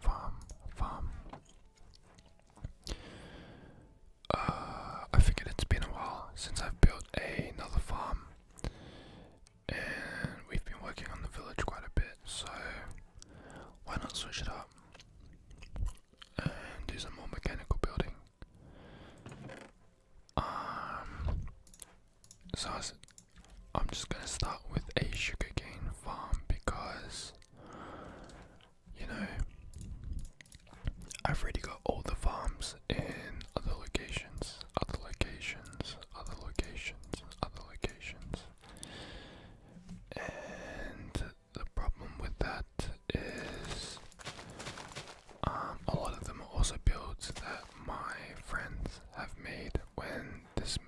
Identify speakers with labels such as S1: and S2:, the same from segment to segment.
S1: farm, farm. Uh, I figured it's been a while since I've built another farm, and we've been working on the village quite a bit, so why not switch it up and do some more mechanical building? Um, so I was I'm just gonna start with a sugarcane farm because you know I've already got all the farms in other locations, other locations, other locations, other locations. And the problem with that is um, a lot of them are also builds that my friends have made when this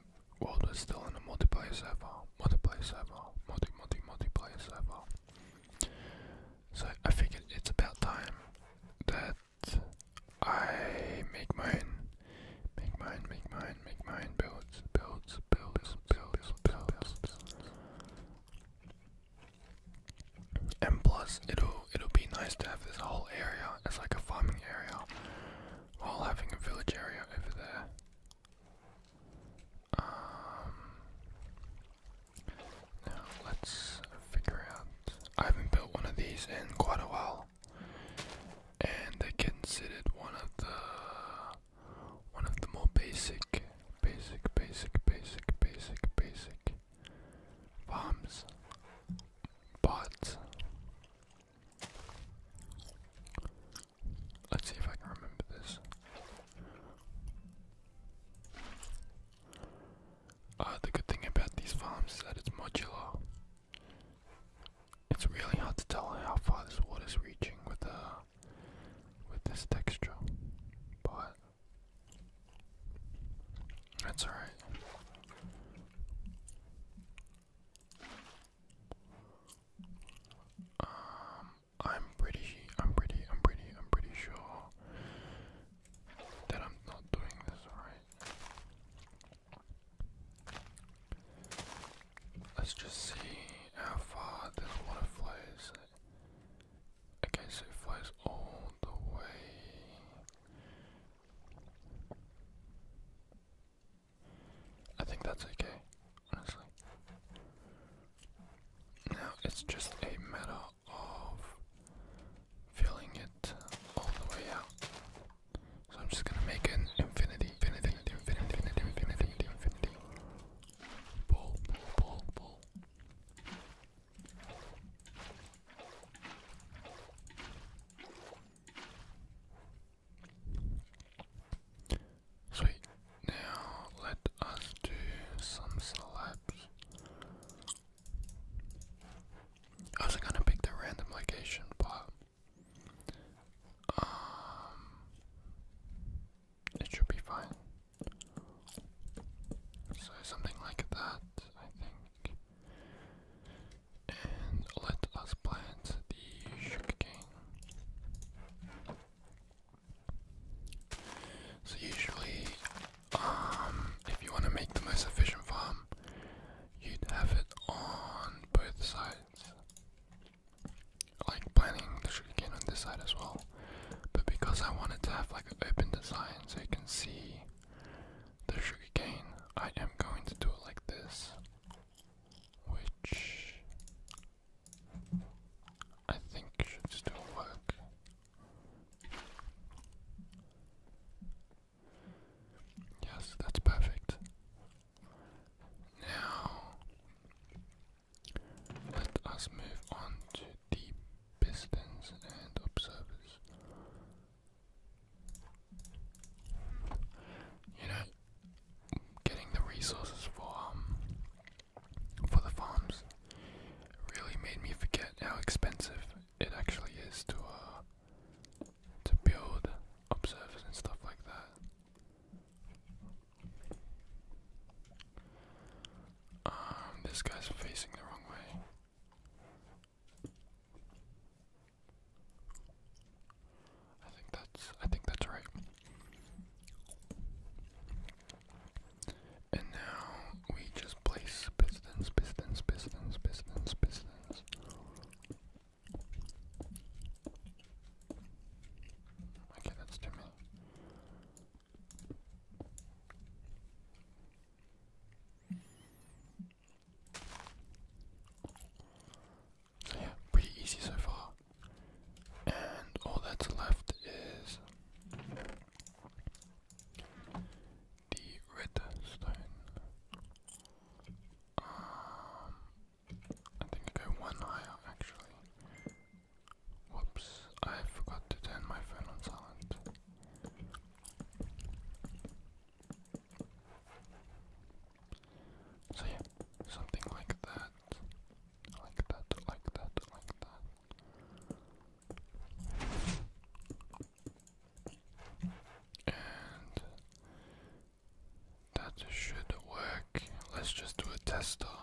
S1: World is still in a multiplayer server, multiplayer server, multi multi multiplayer server. So I figured it's about time that I make mine, make mine, make mine, make mine builds, builds, builds, builds, builds. And plus, it'll it'll be nice to have this whole area as like a farming area while having a village area over there. Um, now let's figure out. I haven't built one of these in quite a while, and they considered one of the one of the more basic, basic, basic, basic, basic, basic farms. But Let's see if I can remember this. Uh, the good thing about these farms is that it's modular. It's really hard to tell how far this water is reaching with uh, with this texture, but that's alright. Um, I'm pretty, I'm pretty, I'm pretty, I'm pretty sure that I'm not doing this right. Let's just see how far this water flows. Okay, so it flows all the way. I think that's okay, honestly. Now it's just a matter of filling it all the way out. So I'm just gonna make an infinity, infinity, infinity, infinity, infinity, infinity. Ball, ball, ball. Sweet. Now let us do some slabs. I wasn't gonna pick the random location, but um, it should be fine. So something like that, I think and let us plant the sugarcane. So usually, um, if you want to make the most efficient farm, you'd have it on both sides. Like planting the sugarcane on this side as well, but because I wanted to have like an open design so you can see the sugarcane, I am going to do it like this, which I think should still work. Yes, that's perfect. Now, let us move on to the pistons and observers. You know, getting the resources for um for the farms really made me forget how expensive it actually is to uh to build observers stuff like that. Um, this guy's facing the wrong way. I think that's I think that's right. And now we just place pistons, pistons, pistons, pistons, pistons. Okay, that's too many. Yeah, pretty easy so far. And all that's left is the redstone. Um, I think I go one higher actually. Whoops, I forgot to turn my phone on silent. So yeah, something like that. Like that, like that, like that. And that should work. Let's just do a test though.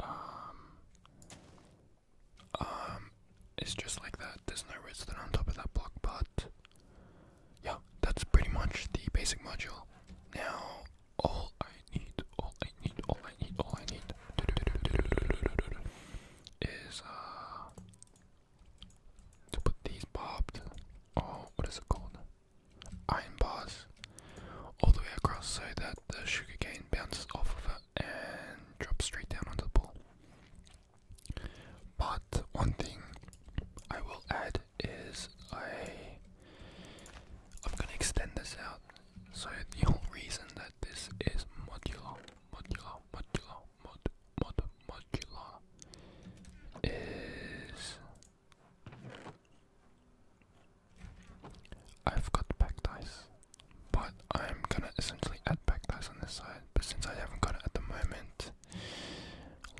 S1: Um, um, it's just like that. There's no redstone on top of that block, but yeah, that's pretty much the basic module. Now, all I need, all I need, all I need, all I need is uh to put these barbed. Oh, what is it called? Iron bars all the way across so that the sugar cane bounces off of it and dropped straight down onto the pool. But one thing I will add is I I'm gonna extend this out. So the whole reason that this is modular, modular, modular, mod, mod, modular is I've got back dice. But I'm gonna essentially add back pass on this side. But since I haven't got it at the moment,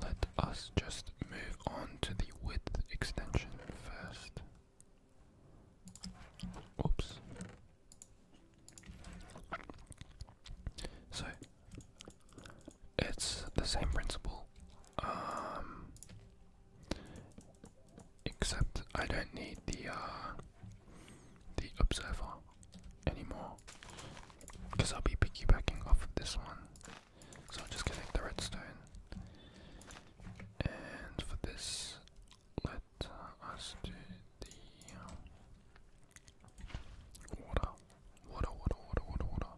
S1: let us just move on to the width extension first. Oops. So it's the same principle. Um, Except I don't need the uh, the observer anymore because I'll be piggybacking off of this one. So I'll just connect the redstone. And for this, let us do the uh, water. Water, water, water, water, water.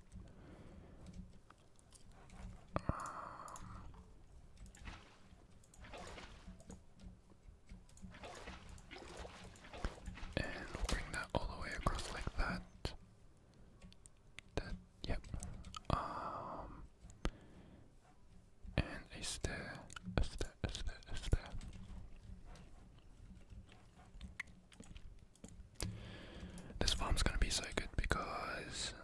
S1: Um, and bring that all the way across like that. That, yep. Um, and a stair, a stair, a stair, a stair. This farm's gonna be so good because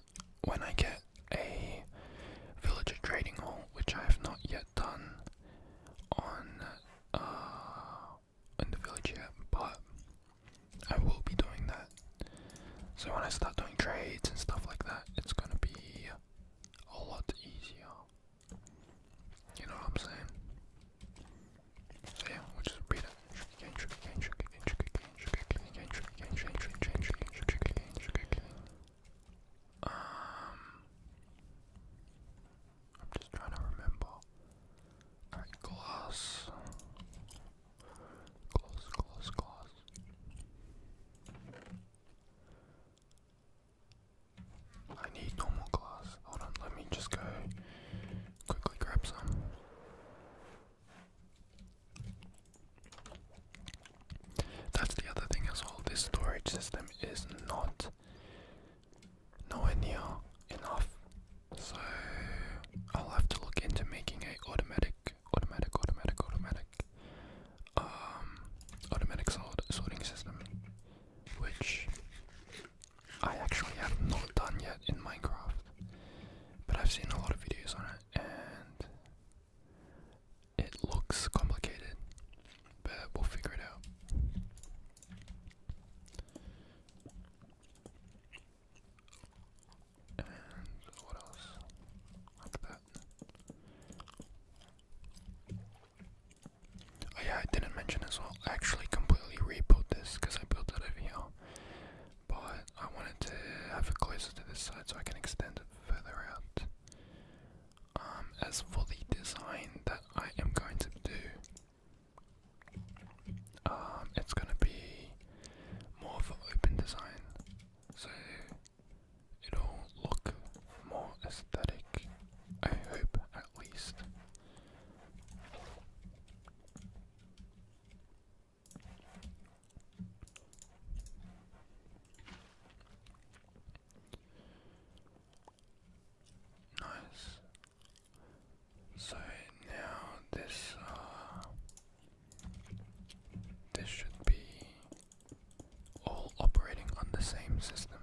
S1: when I get a villager trading hall, which I have not yet done on in the village yet, but I will be doing that. So when I start doing trades and stuff like that, it's gonna be a lot easier. You know what I'm saying? So yeah, we'll just read it. Um, I'm just trying to remember. glass, glass, glass, glass. I need normal glass. Hold on, let me just go quickly grab some. That's the other thing as well. This storage system is not nowhere near enough. So I'll have to look into making a automatic, automatic, automatic, automatic, um, automatic sort sorting system, which I actually have not done yet in Minecraft, but I've seen a lot of videos on it, and it looks complicated, but we'll figure it out. And what else? Like that. Oh yeah, I didn't mention as well. actually completely rebuilt this because I built it over here. But I wanted to have it closer to this side so I can extend it further out. Um, as for the design that I am going to do, um, it's going to be more of an open design, so it'll look more aesthetic, I hope at least. Nice. So now this uh, this should be all operating on the same system.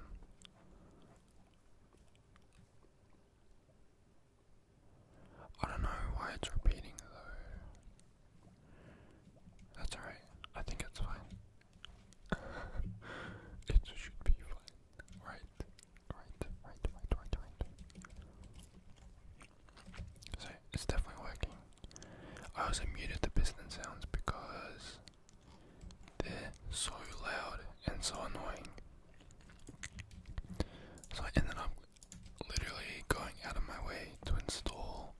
S1: I don't know why it's repeating though. That's alright. I think it's fine. it should be fine. Right. Right. Right. Right. Right. Right. So it's definitely working. I also muted the piston sounds because they're so loud and so annoying. So I ended up literally going out of my way to install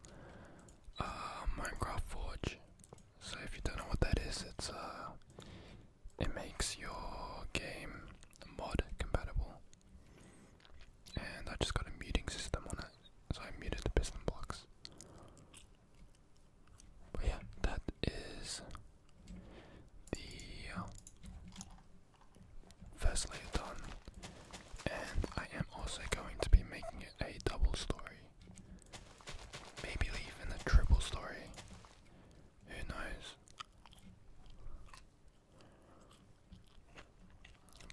S1: uh, Minecraft Forge. So if you don't know what that is, it's uh, it makes your game mod compatible. And I just got a muting system on it, so I muted the piston blocks. But yeah, that is the uh, first layer done. And I am also going to be making it a double story. Maybe even a triple story. Who knows?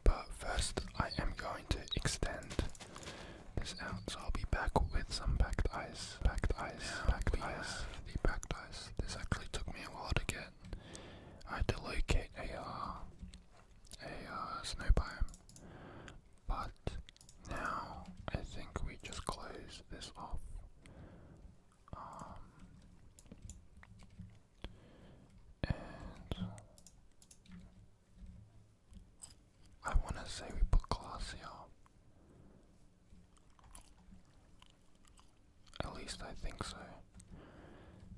S1: But first, I am going to extend this out, so I'll be back with some packed ice. Packed ice. Now packed ice. The packed ice. This actually took me a while to get. I had to locate AR a uh, snow biome. But now I think we just close this off. Um, and I want to say we put glacial. At least I think so.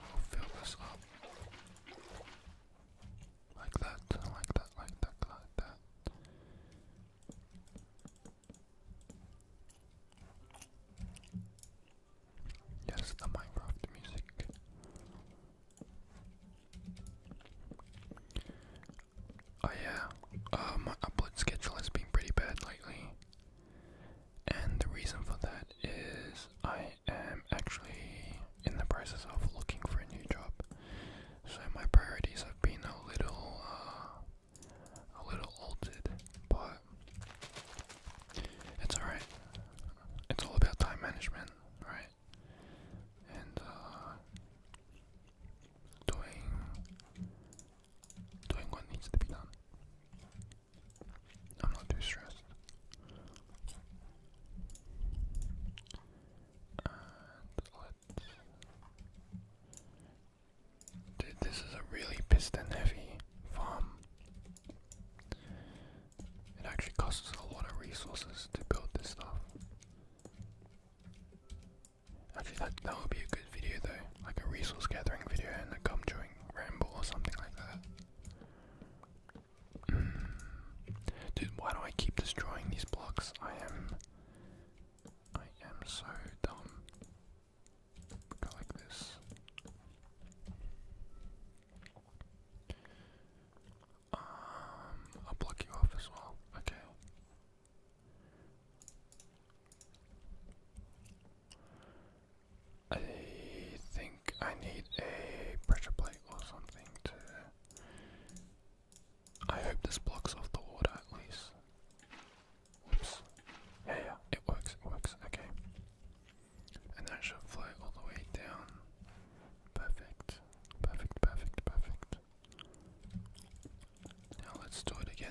S1: I'll fill this up. Like that, like that, like that, like that. Yes, the Minecraft music. Oh yeah, uh, my upload schedule has been pretty bad lately, and the reason for that that is I am actually in the process of looking for a new job. So my priorities have been a little uh, a little altered, but it's alright. It's all about time management, right? And uh, doing doing what needs to be done. I'm not too stressed. Dude, this is a really piston heavy farm. It actually costs a lot of resources to build this stuff. Actually, that, that would be a good video though, like a resource gathering video and a gum chewing ramble or something like that. Dude, why do I keep destroying these blocks? I am. I am so dumb. Go this. Um, I'll block you off as well. Okay. I think I need a pressure plate or something to. I hope this blocks off the water at least. Oops. Yeah, yeah, it works, it works, okay. And that should flow all the way down. Perfect, perfect, perfect, perfect. Now let's do it again.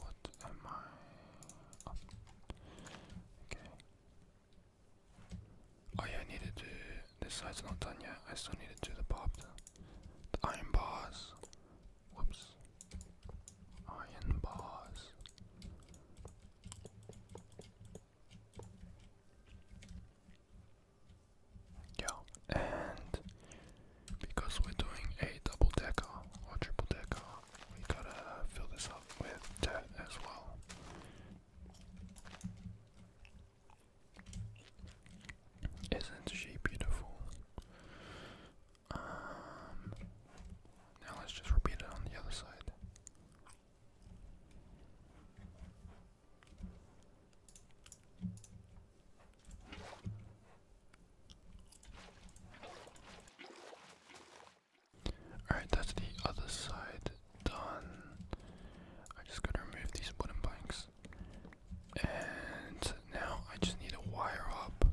S1: What am I? Oh, okay. Oh yeah, I needed to. This side's not done yet. I still need to do the pop, the iron bars. Whoops. Iron bars. Yeah, and because we're doing a double decker or triple decker, we gotta fill this up with dirt as well. Isn't she beautiful? Um, now let's just repeat it on the other side. Alright, that's the other side done. I just gotta remove these wooden planks. And now I just need to wire up.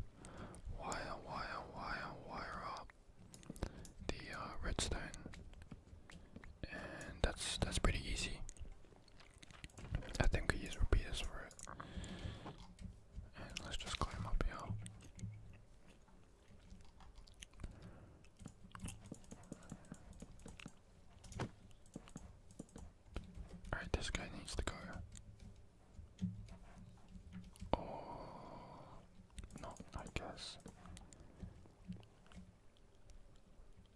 S1: Wire, wire, wire, wire up the uh, redstone. And that's that's pretty easy. I think I use repeaters for it. And let's just climb up here. Alright, this guy needs to go. Oh, not, I guess.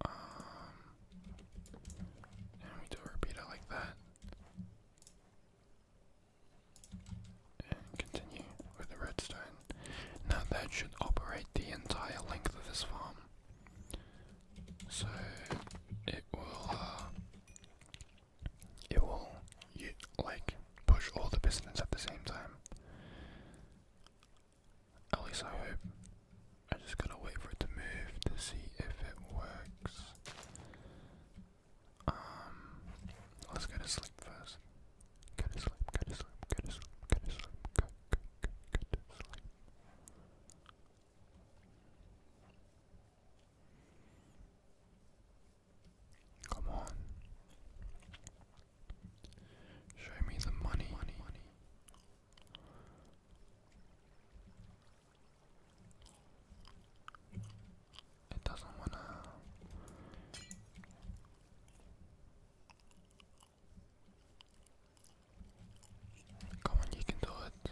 S1: Um, and we do a repeater like that. And continue with the redstone. Now that should operate the entire length of this farm. So it will, uh, it will, like, push all the pistons at the same time. At least I hope. I just gotta wait for it to move to see if it works. Um, let's go to sleep first. Go to sleep, go to sleep, go to sleep, go to sleep, go, go, go, go to sleep. Come on. Show me the money. It doesn't want to. Come on, you can do it.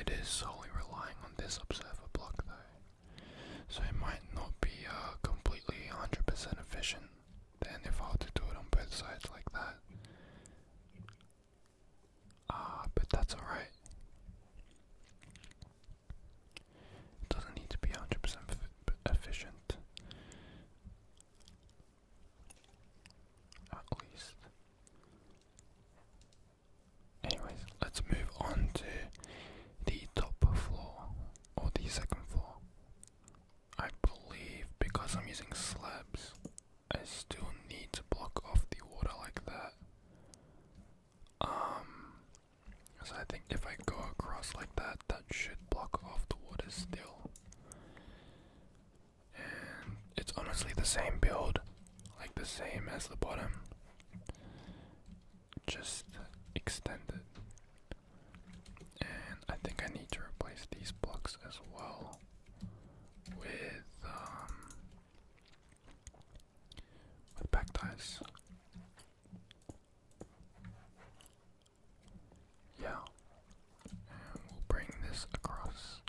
S1: It is solely relying on this observer block, though, so it might not be uh, completely 100% efficient. Then, if I were to do it on both sides like that, Ah, but that's alright. It doesn't need to be 100% efficient. At least. Anyways, let's move on to the top floor or the second floor. I believe because I'm using slabs, I still need to block off the water like that. Um, so I think if I go across like that, that should block off the water still. And it's honestly the same build, like the same as the bottom. Just extended. And I think I need to replace these blocks as well with um with back ties. Yeah. And we'll bring this across.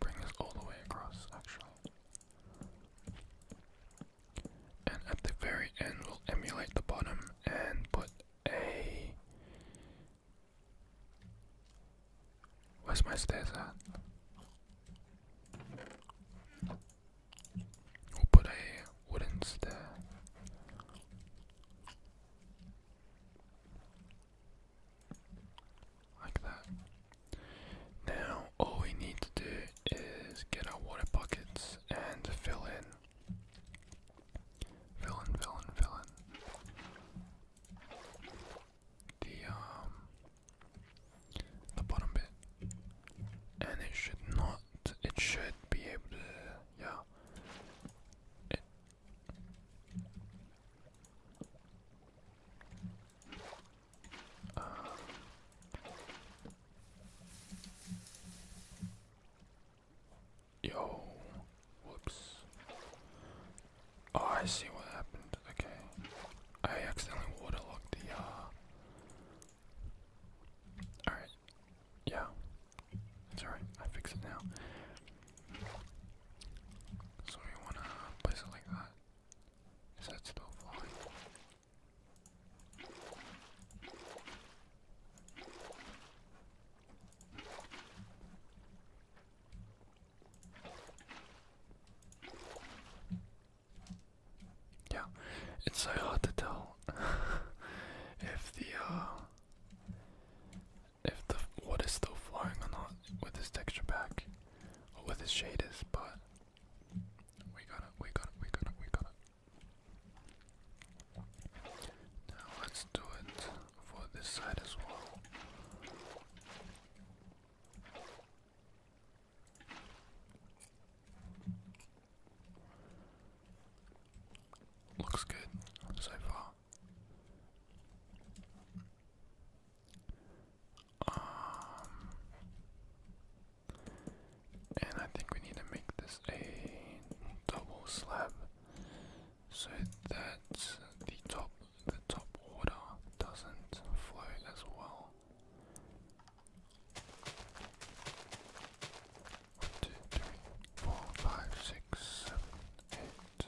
S1: bring this all the way across, actually. And at the very end, we'll emulate the bottom and put a. Where's my stairs at? will put a wooden stair. Like that. Now, all we need to do is get our water buckets and fill in Villain, villain, villain. The um the bottom bit. And it should not it should be able to yeah. Yo. Whoops. Oh, I see what happened. Okay. I accidentally waterlogged the, uh, Alright. Yeah. It's alright. I fix it now. So we wanna place it like that. Is that still flying? Yeah, it's so hard to tell if the uh if the what is still flowing or not with this texture pack or with this is. but we got it, we got it, we got it, we got it. Now let's do it for this side as well. Looks good so far. Um, and I think we need to make this a double slab so that the top the top water doesn't flow as well. One, two, three, four, five, six, seven, eight.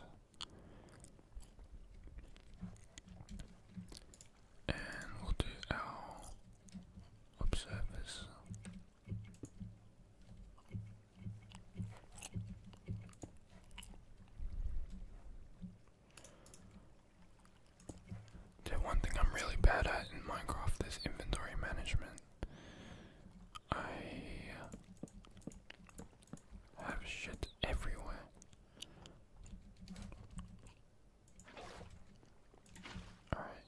S1: And we'll do our observers the one thing I'm really bad at in Minecraft is inventory management. I uh, have shit everywhere. Alright.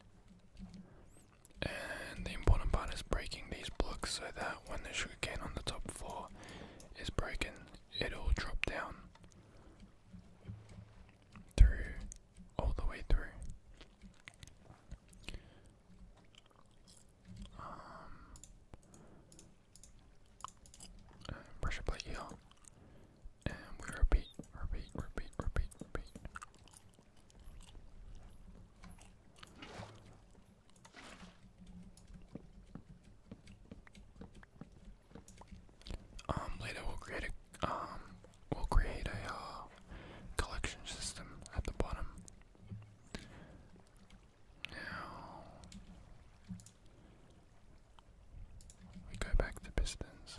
S1: And the important part is breaking these blocks so that when the sugarcane on the top floor is broken, it'll drop down through all the way through. pressure plate here. And we repeat, repeat, repeat, repeat, repeat. Um, later we'll create a um, uh, collection system at the bottom. Now we go back to pistons.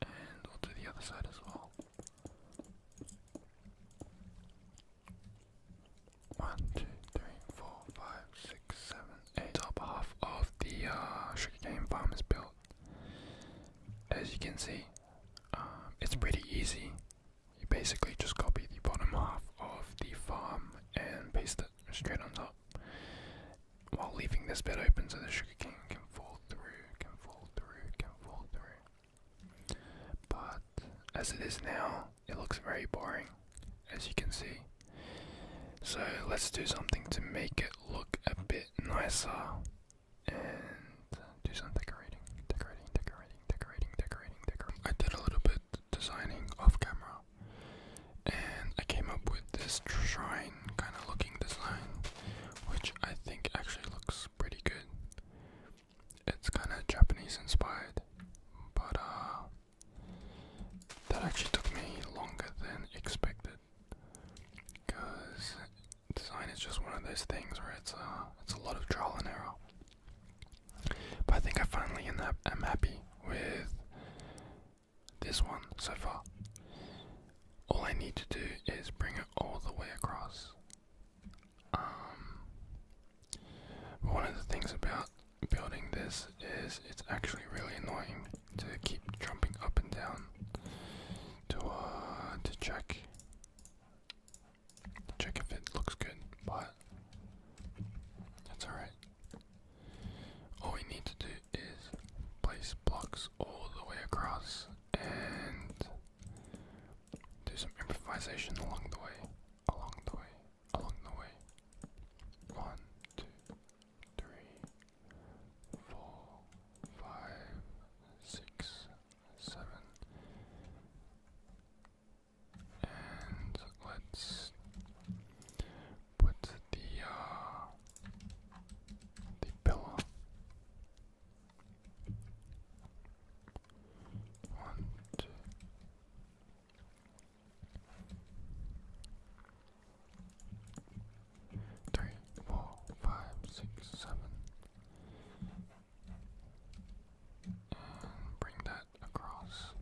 S1: And we'll do the other side as well. One, two, three, four, five, six, seven, eight. Top half of the uh, sugarcane farm is built. As you can see, um, it's pretty easy. You basically just copy the bottom half of the farm and paste it straight on top while leaving this bed open so the sugarcane can fall through, can fall through, can fall through. But as it is now, it looks very boring, as you can see. So let's do something to make it look a bit nicer and do some decorating, decorating, decorating, decorating, decorating, decorating. I did a little bit designing off camera, and I came up with this shrine kind of looking design, which I think actually looks pretty good. It's kind of Japanese inspired, but uh, that actually took me longer than expected. Because design is just one of those things where it's a, uh, it's a lot of trial and error. But I think I finally am happy with this one so far. All I need to do is bring it all the way across. Um, one of the things about building this is it's actually really annoying to keep jumping up and down to uh, to check check if it looks good, but that's alright all we need to do is place blocks all the way across and do some improvisation along the way, along the way, along the way. One, two, three, four, five, six, seven, and let's put the uh, the pillow. One, And bring that across.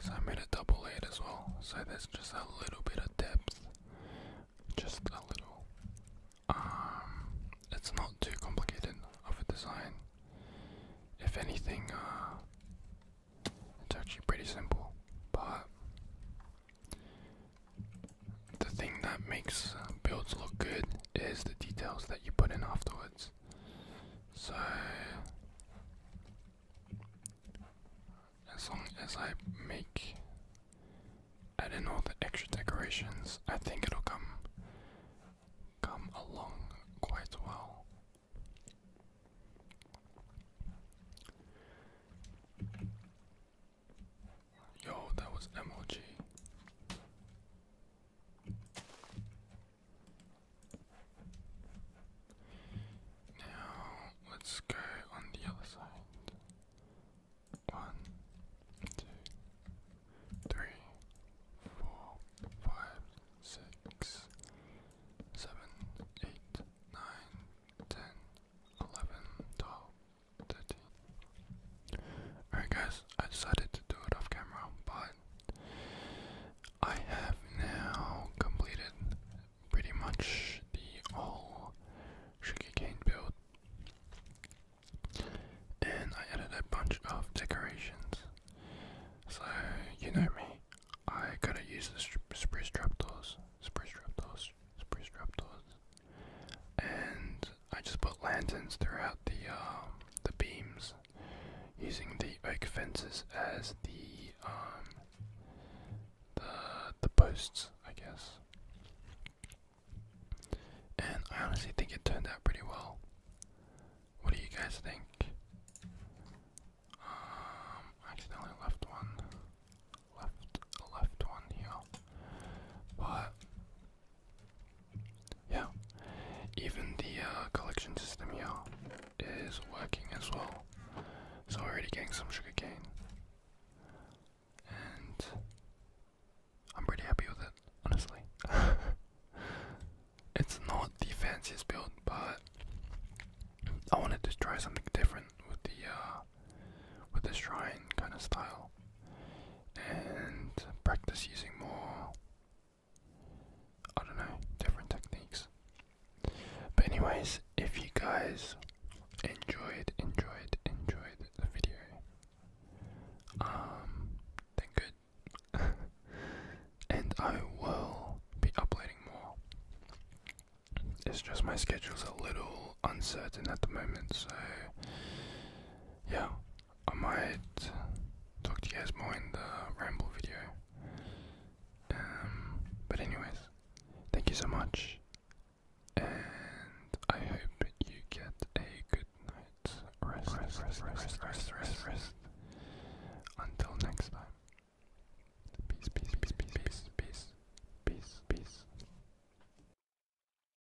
S1: So I made a double eight as well. So there's just a little bit of depth. Just a little. Um, it's not too complicated of a design. If anything, uh, it's actually pretty simple, but the thing that makes builds look good is the details that you put in afterwards. So, as long as I make add in all the extra decorations, I think it'll come come along quite well. Yo, that was MLG. Now let's go on the other side. One, two, three, four, five, six, seven, eight, nine, ten, eleven, twelve, Alright guys, I decided to do it off camera, but I have now completed pretty much the whole cane build. And I added a bunch of decorations. So, you know me, I gotta use the spruce trapdoors, spruce trapdoors, spruce doors and I just put lanterns throughout the um, the beams, using the oak fences as um, the the posts, I guess. And I honestly think it turned out pretty well. What do you guys think? Um, I accidentally left one, left left one here, but yeah, even the uh, collection system here is working as well. So we're already getting some sugar cane, and I'm pretty happy with it, honestly. it's not the fanciest build, but I wanted to try something different with the uh, with the shrine kind of style and practice using more, I don't know, different techniques. But, anyways, if you guys enjoyed, enjoyed, enjoyed the video, um, then good. and I will be uploading more. It's just my schedule's a little uncertain at the moment, so yeah, I might talk to you guys more in the ramble video. Um, but anyways, thank you so much, and I hope you get a good night's rest. Rest, rest, rest, rest, rest, rest. Until next time. Peace, peace, peace, peace, peace, peace, peace, peace.